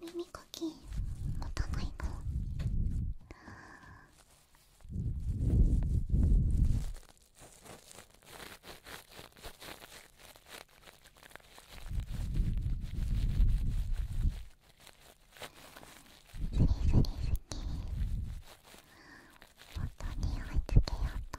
耳かき持たないかスリスリスキー。もっにおいつけようと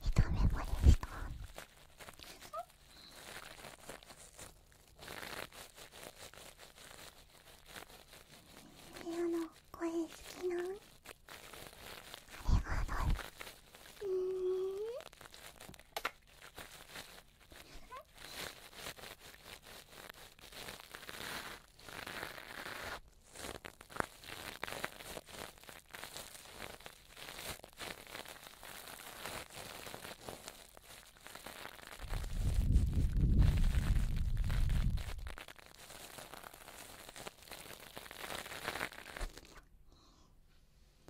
一目ぼでしたレオの声好きなんありがとううん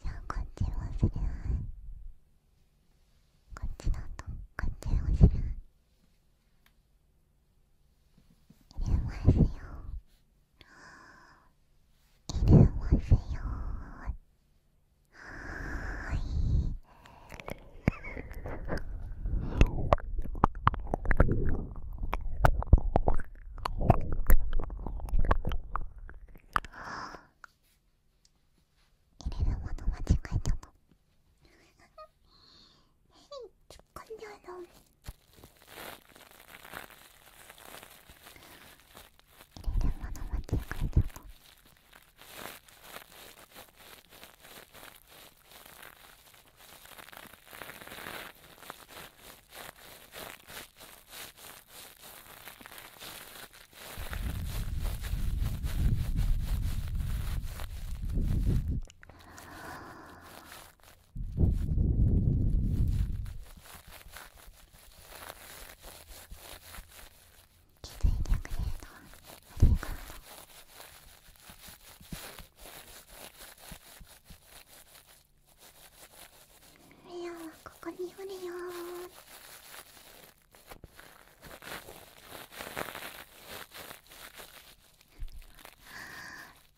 じゃあこっちのおしらこっちのとこっちのしらい入れますよ。いれますよはい入れるもの間違えたの突っ込んじゃうの入れあ気づいてくれるのありがとういここにおるよ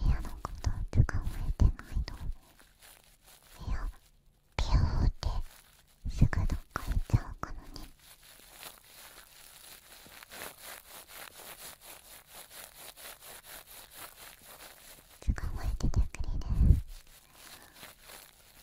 部屋のことって考えてないと部屋ピューってすぐどっか行っちゃうからね考えててくれる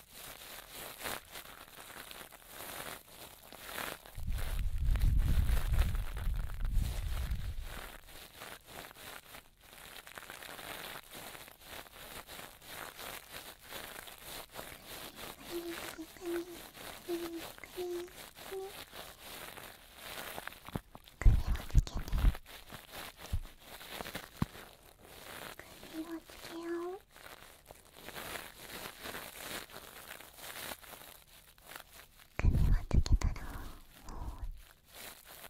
首をつけよう金はつけたらもう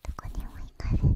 どこにも行かせないよ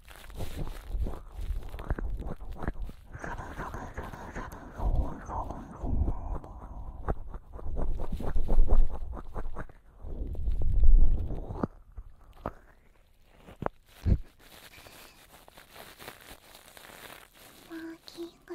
マーキング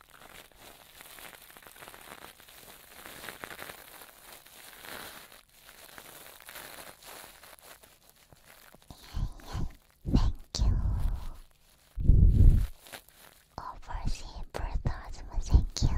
Thank you. Oversee Berthasma, thank you.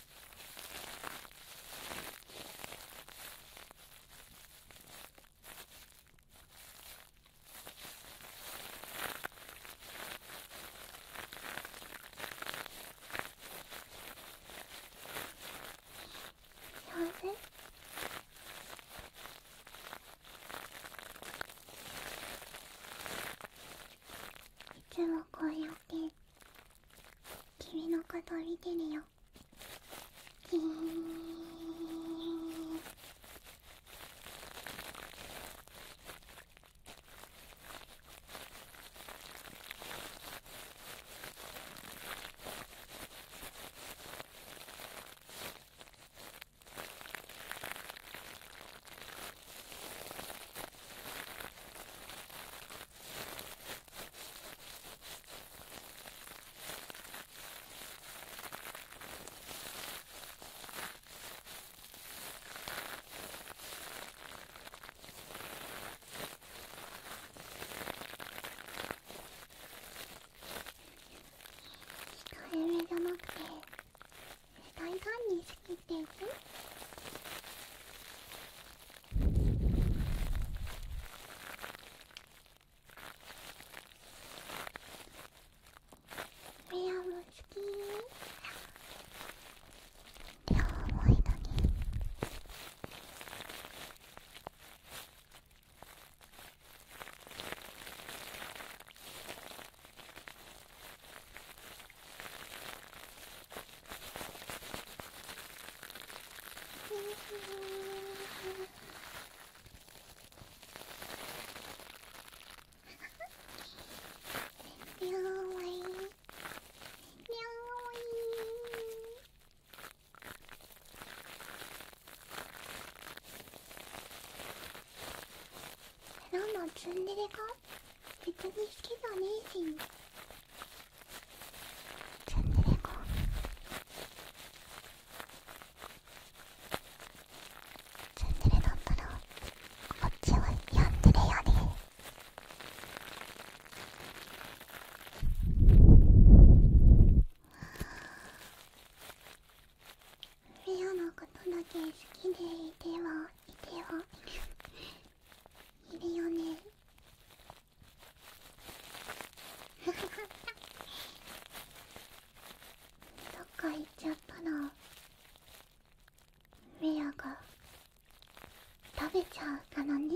幸せいつもこうやっ君のこと見てるよキ控えめじゃなくて大胆に仕切っていくミヤも好きー両いだねにゃーおいにゃーわいランマツンデレか別に好きじゃねえしチャンネルコチャンネルだったらこっちはやんでるよねレアのことだけ好きでいてはいてはいるよねどっか行っちゃったなメアが食べちゃうからね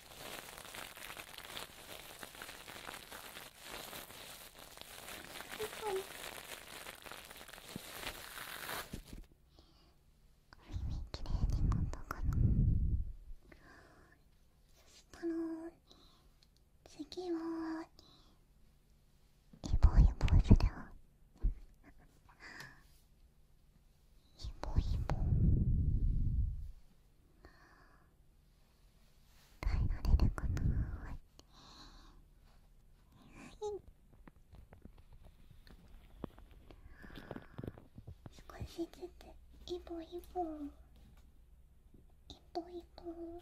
い。いれはきになしたら次はイボイボするわイボイボ。耐えられるかなはい少しずつイボイボ、イ歩イボ。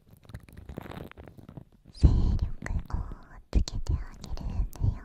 勢力をつけてあげるんだよ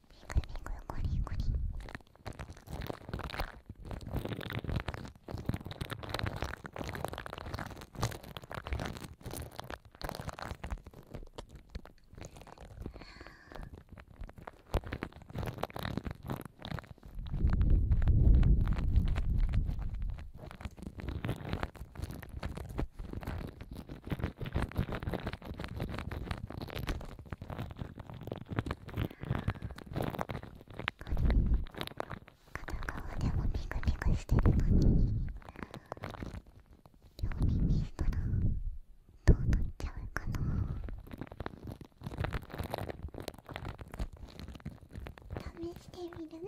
コリコリあ片側でもピクピクしてるのに両耳にしたらどうなっちゃうかな試してみる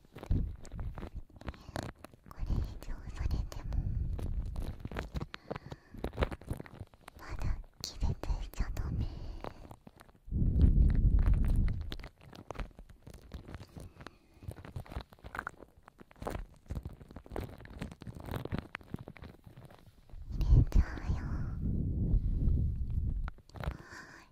これ以上されてもまだ気絶しちゃダメ入れちゃうよ。リ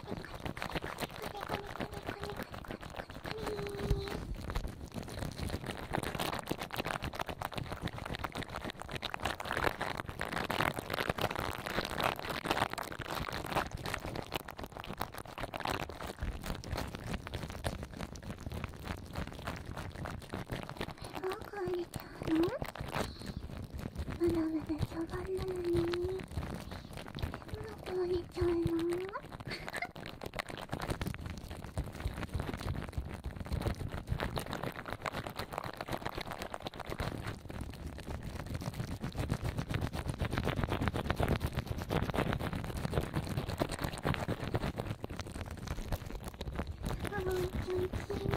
まだまだ序盤なのに。どう寝ちゃうのあーおいしいねおいいね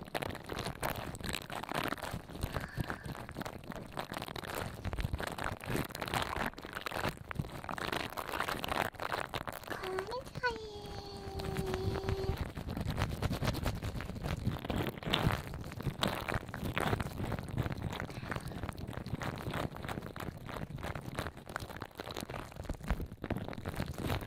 こんにちは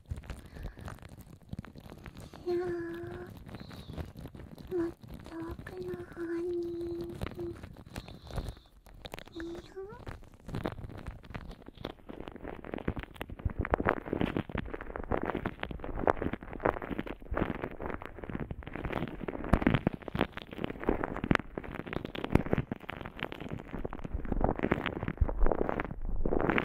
いやもっと奥の方にいいよ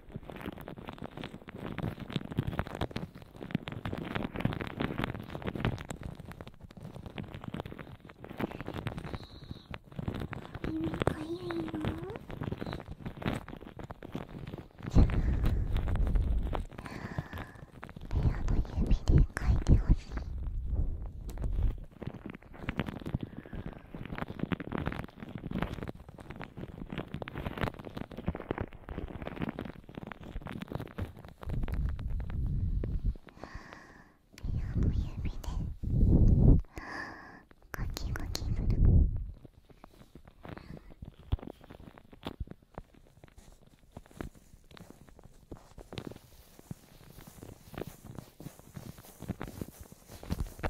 指で書いてほしい。の指でゴキゴキする。